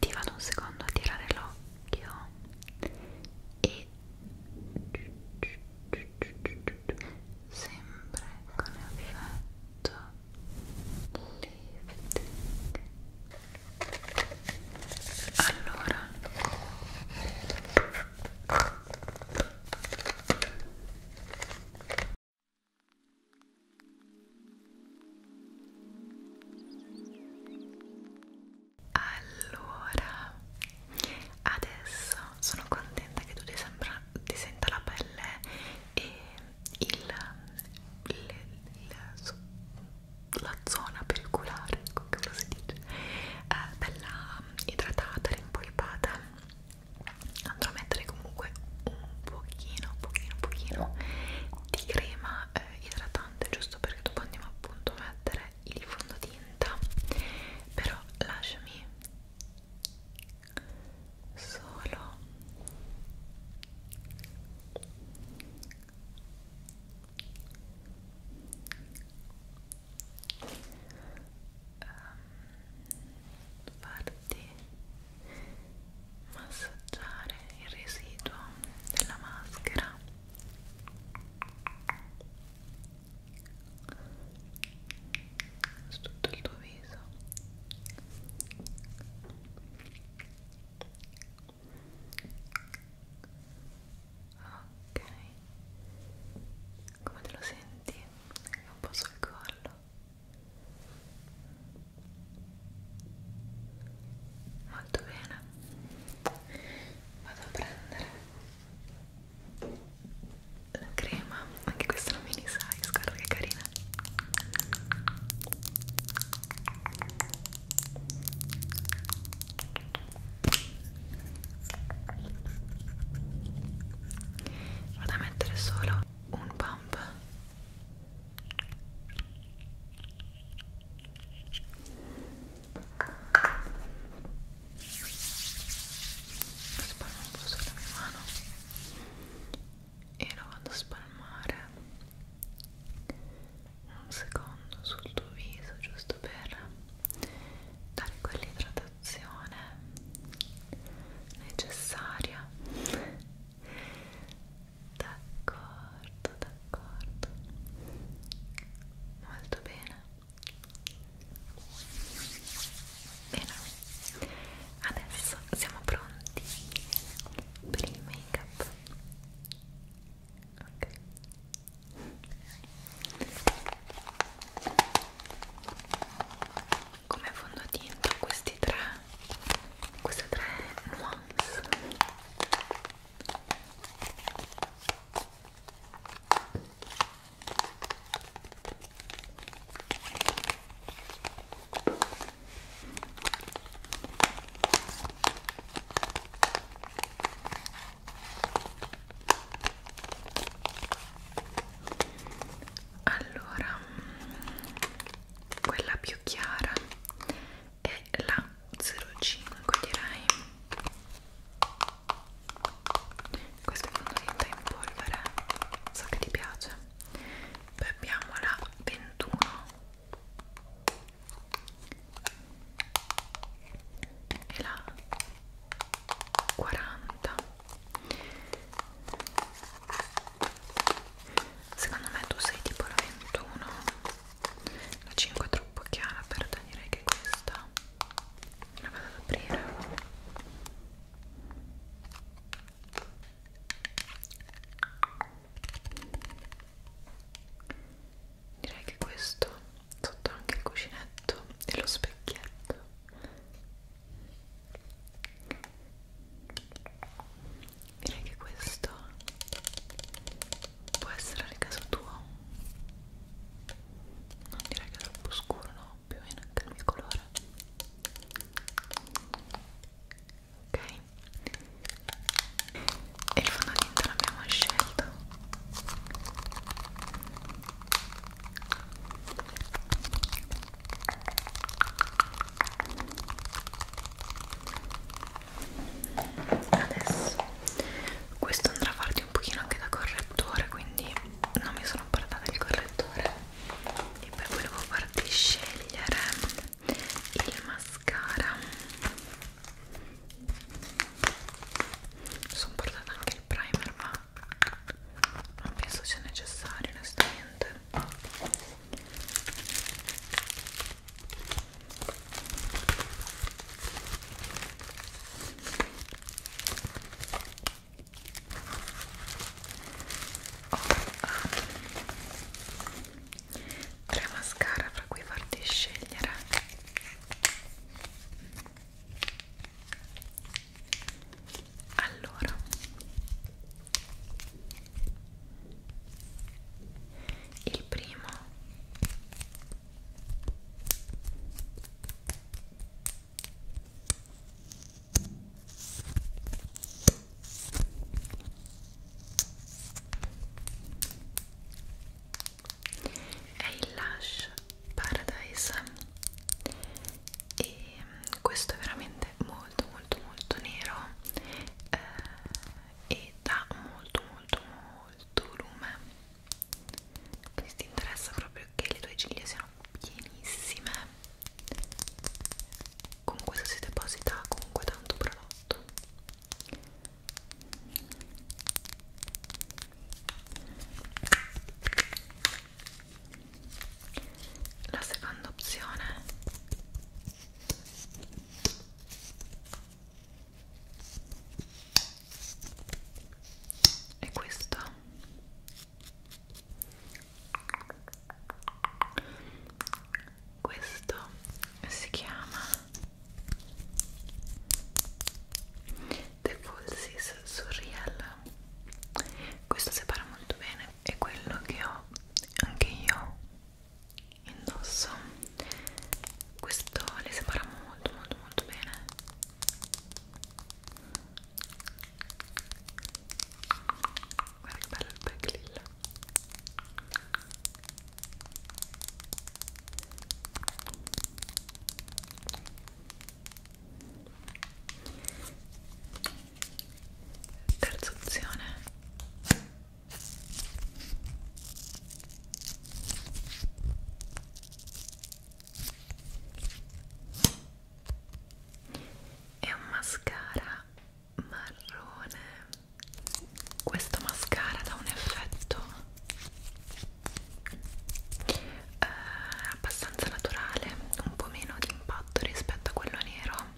ti vado un secondo a tirare l'occhio e sempre con effetto lifting allora allora, adesso sono contenta che tu ti, sembra, ti senta la pelle e il, il, il, la zona periculare, come ecco lo si dice, eh, bella idratata, rimpolpata. Andrò a mettere comunque un pochino, pochino, pochino di crema eh, idratante giusto perché dopo andiamo appunto a mettere il fondotinta però lasciami solo um, farti massaggiare il residuo della maschera su tutto il tuo viso ok come te lo senti? un po' sul collo molto bene vado a prendere la crema anche questa è una mini size guarda che carina vado a mettere solo un pump Spalmo un po' sulla mia mano e lo vado a spalmare un secondo sul tuo viso giusto per dare quell'idratazione necessaria d'accordo, d'accordo molto bene bene, adesso siamo pronti per il make up ok come fondotinta questi tre queste tre nuance allora mm, quella più chiara è la 05 direi questa è fondotinta in polvere so che ti piace poi abbiamo la 21 e la 40 secondo me tu sei tipo la 21 la 5 è troppo chiara per direi che questa la vado ad aprire direi che questo sotto anche il cuscinetto e lo specchietto direi che questo può essere il caso tuo non direi che è troppo scuro no più o meno anche il mio colore ok e il fondotinta l'abbiamo scelto adesso questo andrà a farti un pochino anche da correttore quindi non mi sono portata il correttore e poi volevo farti scegliere il mascara sono portata anche il primer ma non penso sia necessario onestamente tre mascara fra cui farti scegliere allora il primo è il Lash Paradise e mm, questo è veramente molto molto molto nero eh, e dà molto molto molto lume quindi ti interessa proprio che le tue ciglia siano pienissime con questo si deposita comunque tanto prodotto la seconda opzione e questa questo si chiama The Falsies Surreal questo separa molto bene e quello che ho anche io indosso questo le separa molto molto molto bene guarda che bello il back lilla terza opzione è un mascara marrone questo mascara dà un effetto eh, abbastanza naturale un po' meno di impatto rispetto a quello nero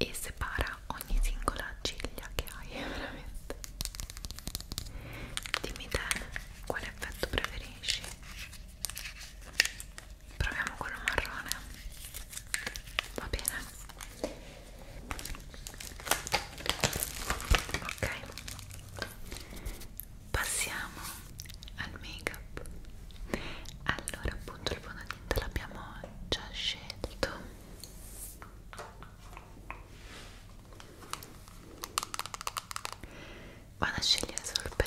e separa ogni singola ciglia che hai veramente dimmi te quale effetto preferisci proviamo quello marrone va bene ok passiamo al make up allora appunto il te l'abbiamo già scelto vado a scegliere solo il pennello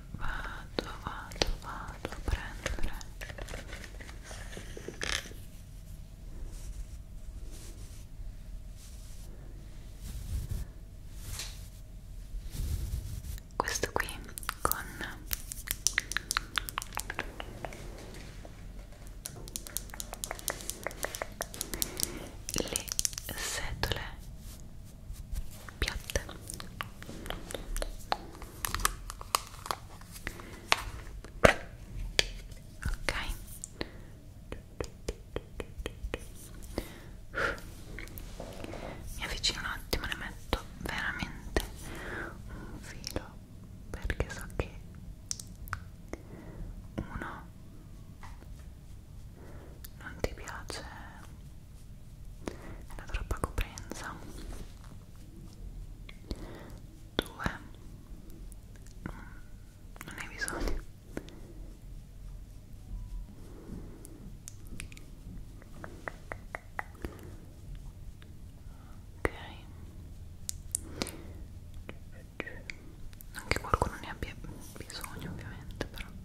vado, vado, vado a prendere questo qui con le setole piatte ok mi avvicino un attimo ne metto veramente un filo perché so che uno non ti piace è la troppa coprenza 2 non hai bisogno ok non che qualcuno ne abbia bisogno ovviamente però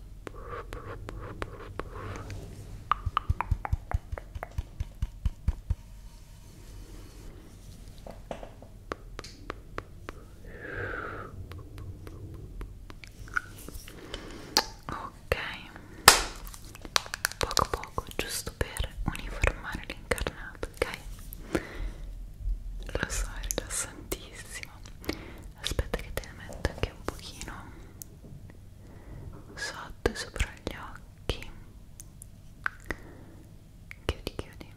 Ok, poco poco, giusto per uniformare l'incarnato, ok? Lo so, è rilassantissimo aspetta che te ne metto anche un pochino sotto e sopra gli occhi chiudi chiudi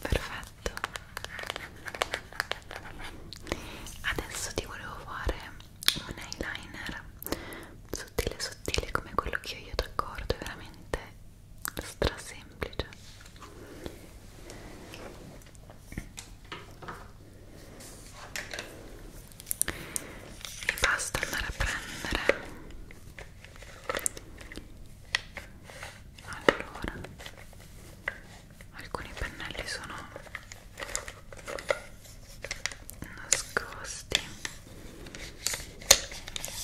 perfetto adesso ti volevo fare un eyeliner sottile sottile come quello che ho io d'accordo è veramente stra semplice e basta andare a prendere allora alcuni pennelli sono nascosti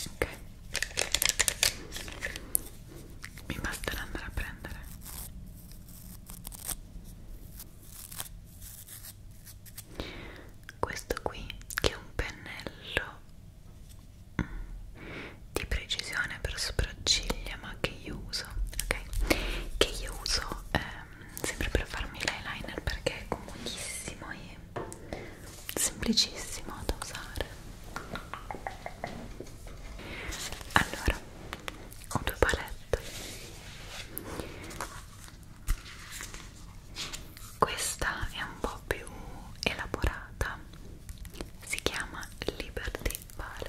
ok mi basterà andare a prendere questo qui che è un pennello mm, di precisione per sopracciglia ma che io uso ok che io uso ehm, sempre per farmi l'eyeliner perché è comodissimo e semplicissimo da usare allora ho due palette questa è un po' più elaborata si chiama Liberty Palette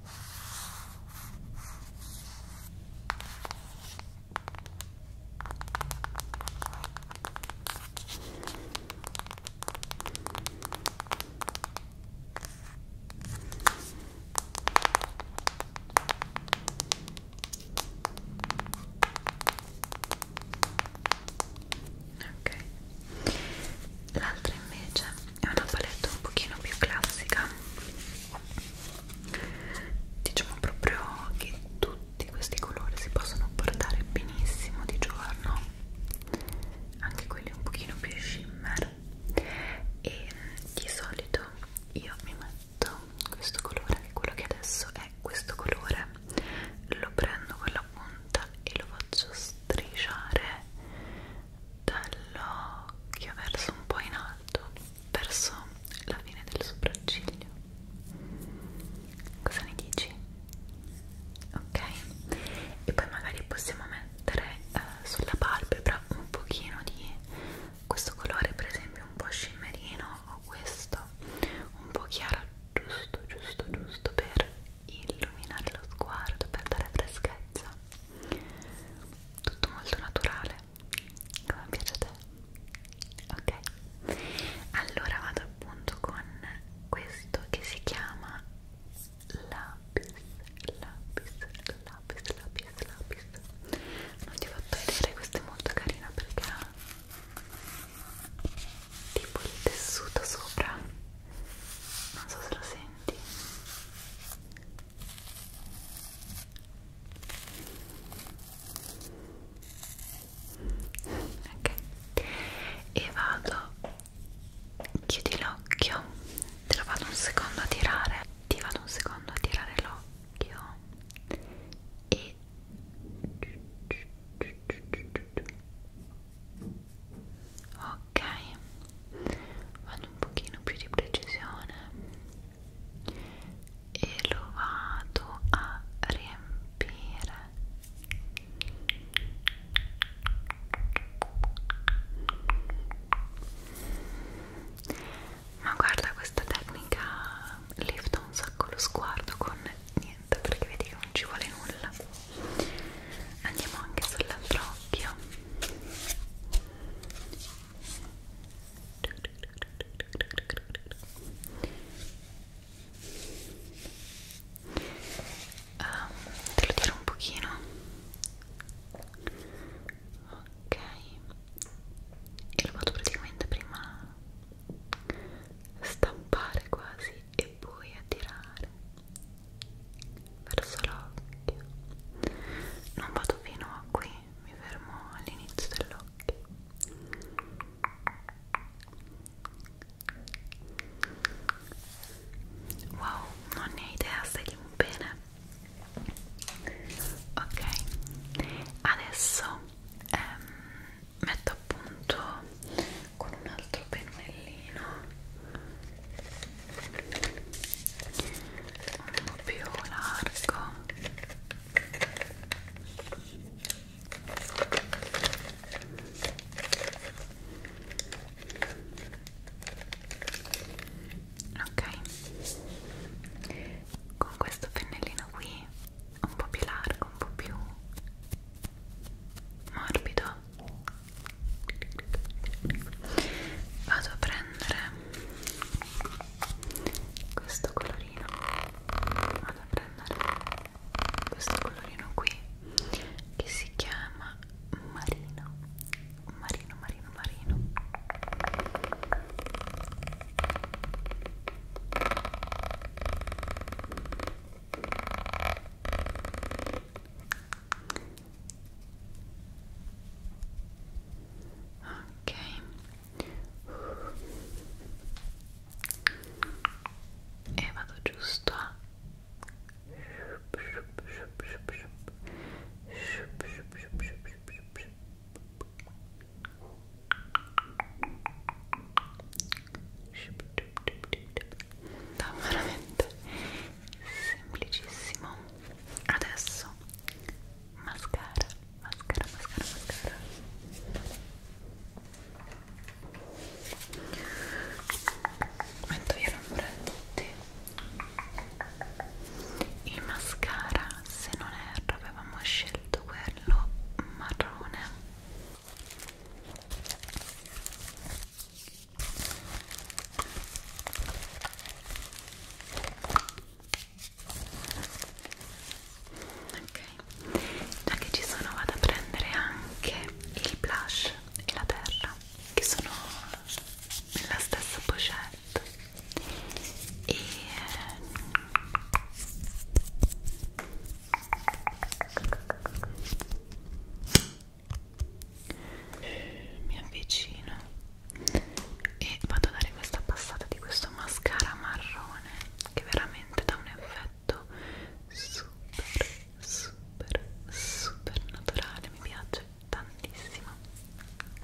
Ok, l'altra invece è una palette un pochino più classica diciamo proprio che tutti questi colori si possono portare benissimo di giorno anche quelli un pochino più shimmer e di solito io mi metto questo colore anche quello che adesso è questo colore lo prendo con la punta e lo faccio strisciare dall'occhio verso un po' in alto, verso la fine del sopracciglio. Cosa ne dici? Ok? E poi magari possiamo mettere eh, sulla palpebra un pochino di questo colore, per esempio un po' scimmerino o questo, un po' chiaro, giusto, giusto, giusto per illuminare lo sguardo per dare freschezza tutto molto naturale come piace a te ok allora vado appunto con questo che si chiama lapis lapis lapis lapis lapis non ti ho fatto vedere questa è molto carina perché ha tipo il tessuto sopra non so se lo senti ok e vado chiudi l'occhio te lo vado un secondo a tirare ti vado un secondo a tirare l'occhio e ok vado un pochino più di precisione e lo vado a riempire ma guarda questa tecnica lifta un sacco lo sguardo con niente perché vedi che non ci vuole nulla andiamo anche sull'altro occhio um, te lo tiro un pochino ok e lo vado praticamente prima stampare quasi e poi attirare verso l'occhio non vado fino a qui mi fermo all'inizio dell'occhio wow non ne hai idea stai bene ok adesso ehm, metto appunto con una altro pennellino un po' più largo ok con questo pennellino qui un po' più largo un po' più morbido vado a prendere questo colorino vado a prendere questo colorino qui che si chiama marino marino marino marino ok e vado giusto a da veramente semplicissimo adesso mascara mascara mascara mascara metto via l'ombra a tutti il mascara se non erro avevamo scelto quello marrone ok già che ci sono vado a prendere anche il blush e la terra che sono nella stessa pochette e eh, eh, mi avvicino e vado a dare questa passata di questo mascara marrone che veramente dà un effetto super super super naturale mi piace tantissimo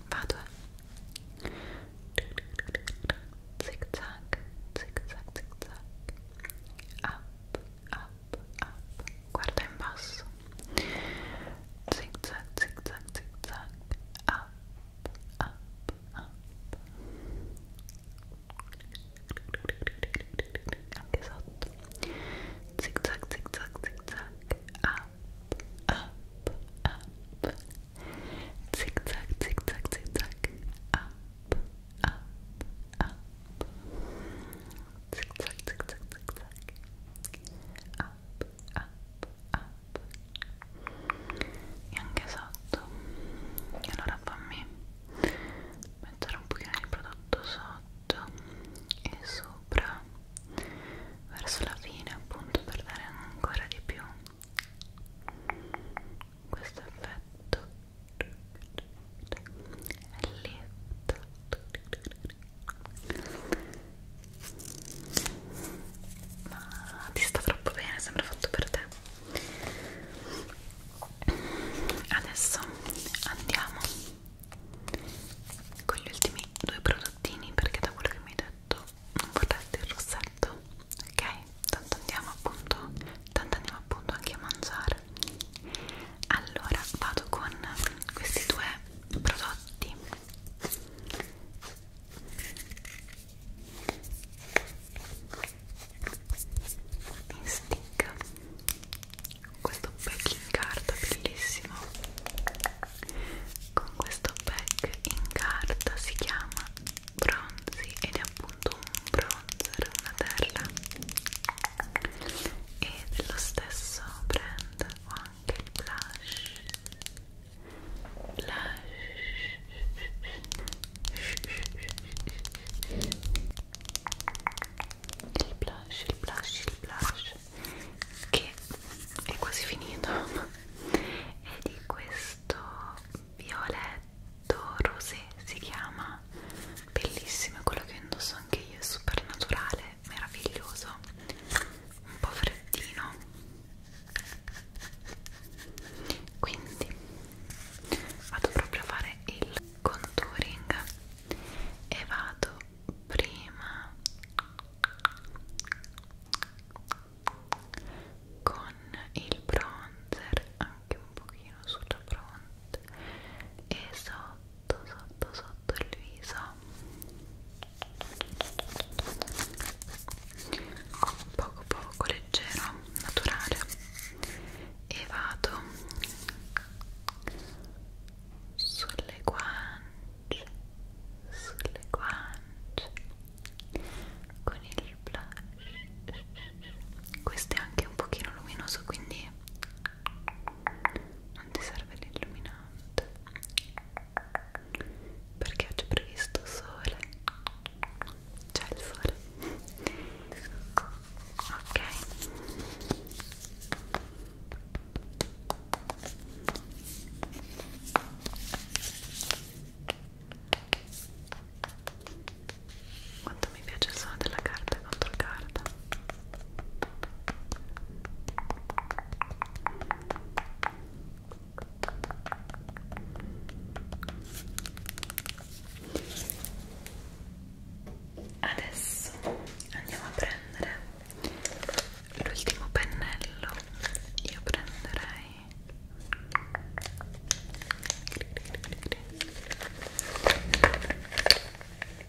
vado eh zig zag zig zag zig zag up up, up, guarda in basso, zig zag, zig zag, zig zag, up, up, up. Anche sotto, zig zag, zig zag, zig zag, up, up, up. Zig zag, zig zag, zig zag, up, up, up. zig zag zig zag zig zag up up up e anche sotto e allora fammi mettere un pochino di prodotto sotto e sopra verso la fine appunto per dare ancora di più questo effetto ma ti sta troppo bene, sembra fatto per te adesso andiamo con gli ultimi due prodottini perché da quello che mi hai detto non portate il rossetto ok? tanto andiamo appunto tanto andiamo appunto anche a mangiare allora vado con questi due prodotti in stick questo pack in carta bellissimo con questo pack in carta si chiama bronzi ed è appunto un bronzer una terra e dello stesso brand ho anche il blush blush il blush, il blush, il blush che è quasi finito è di questo violetto rosé si chiama ma bellissimo, è quello che indosso anche io, è super naturale, meraviglioso, un po' freddino. Quindi vado proprio a fare il contouring e vado prima con il bronzer anche un pochino sulla fronte e sopra sotto sotto sotto il viso poco poco leggero naturale e vado sulle guance sulle guance con il blush questo è anche un pochino luminoso quindi non ti serve l'illuminante perché oggi è previsto sole c'è il sole ok quanto mi piace il suono della carta contro carta adesso andiamo a prendere l'ultimo pennello io prenderei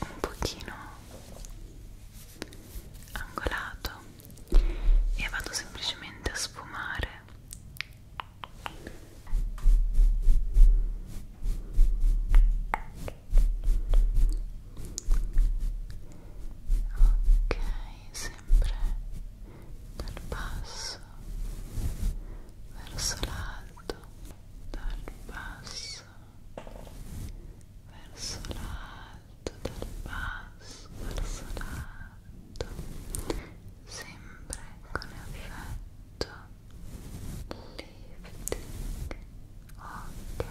un pochino angolato e vado semplicemente a sfumare ok sempre dal basso verso l'alto dal basso verso l'alto, dal basso verso l'alto, sempre con effetto lifting, ok,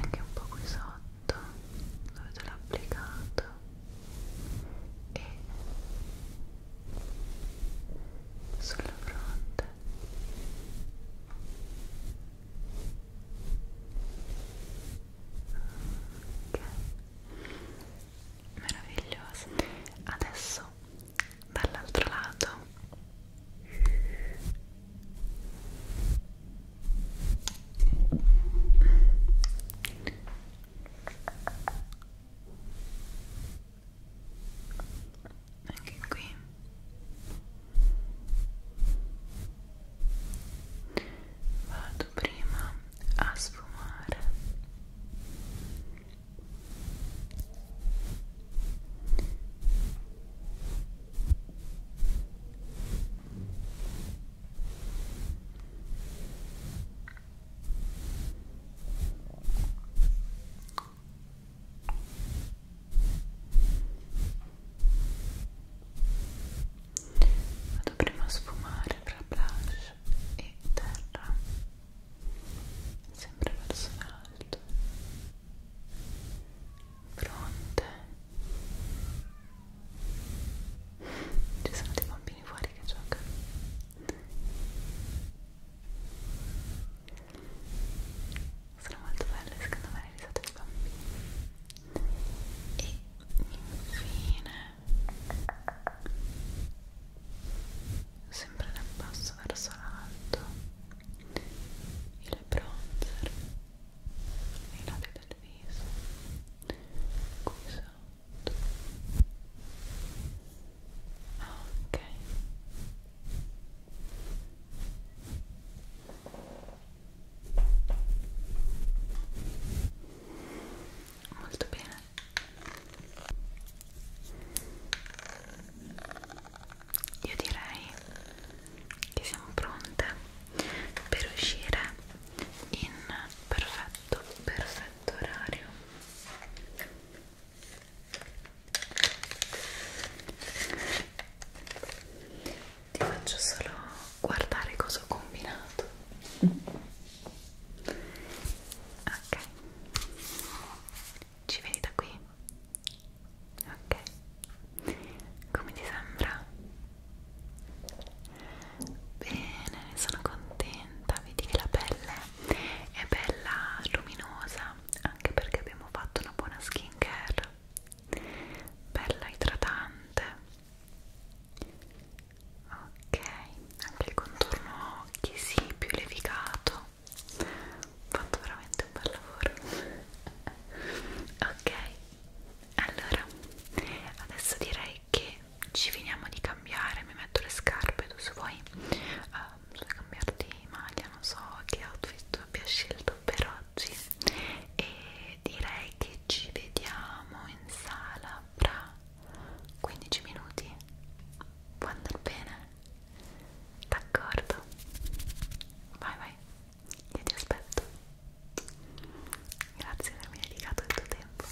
anche un po' qui sotto dove te l'ho applicato e sulla fronte ok meraviglioso adesso dall'altro lato ok anche qui vado prima a sfumare vado prima a sfumare tra blush e terra sempre verso l'alto fronte ci sono dei bambini fuori che giocano sono molto belle secondo me le risate dei bambini e infine sempre dal basso verso l'alto il bronzer nei lati del viso qui sotto ok molto bene io direi che siamo pronte per uscire in perfetto perfetto orario ti faccio solo guardare cosa ho combinato ok ci vedi da qui ok come ti sembra bene ne sono contenta vedi che la pelle è bella luminosa anche perché abbiamo fatto una buona skincare bella idratante ok anche il contorno occhi si sì, più levigato ho fatto veramente un bel lavoro ok allora adesso direi che ci finiamo di cambiare mi metto le scarpe tu se vuoi bisogna cambiarti maglia, non so che outfit abbia scelto per oggi e direi che ci vediamo in sala fra 15 minuti può andare bene? d'accordo? vai vai io ti aspetto grazie per avermi dedicato il tuo tempo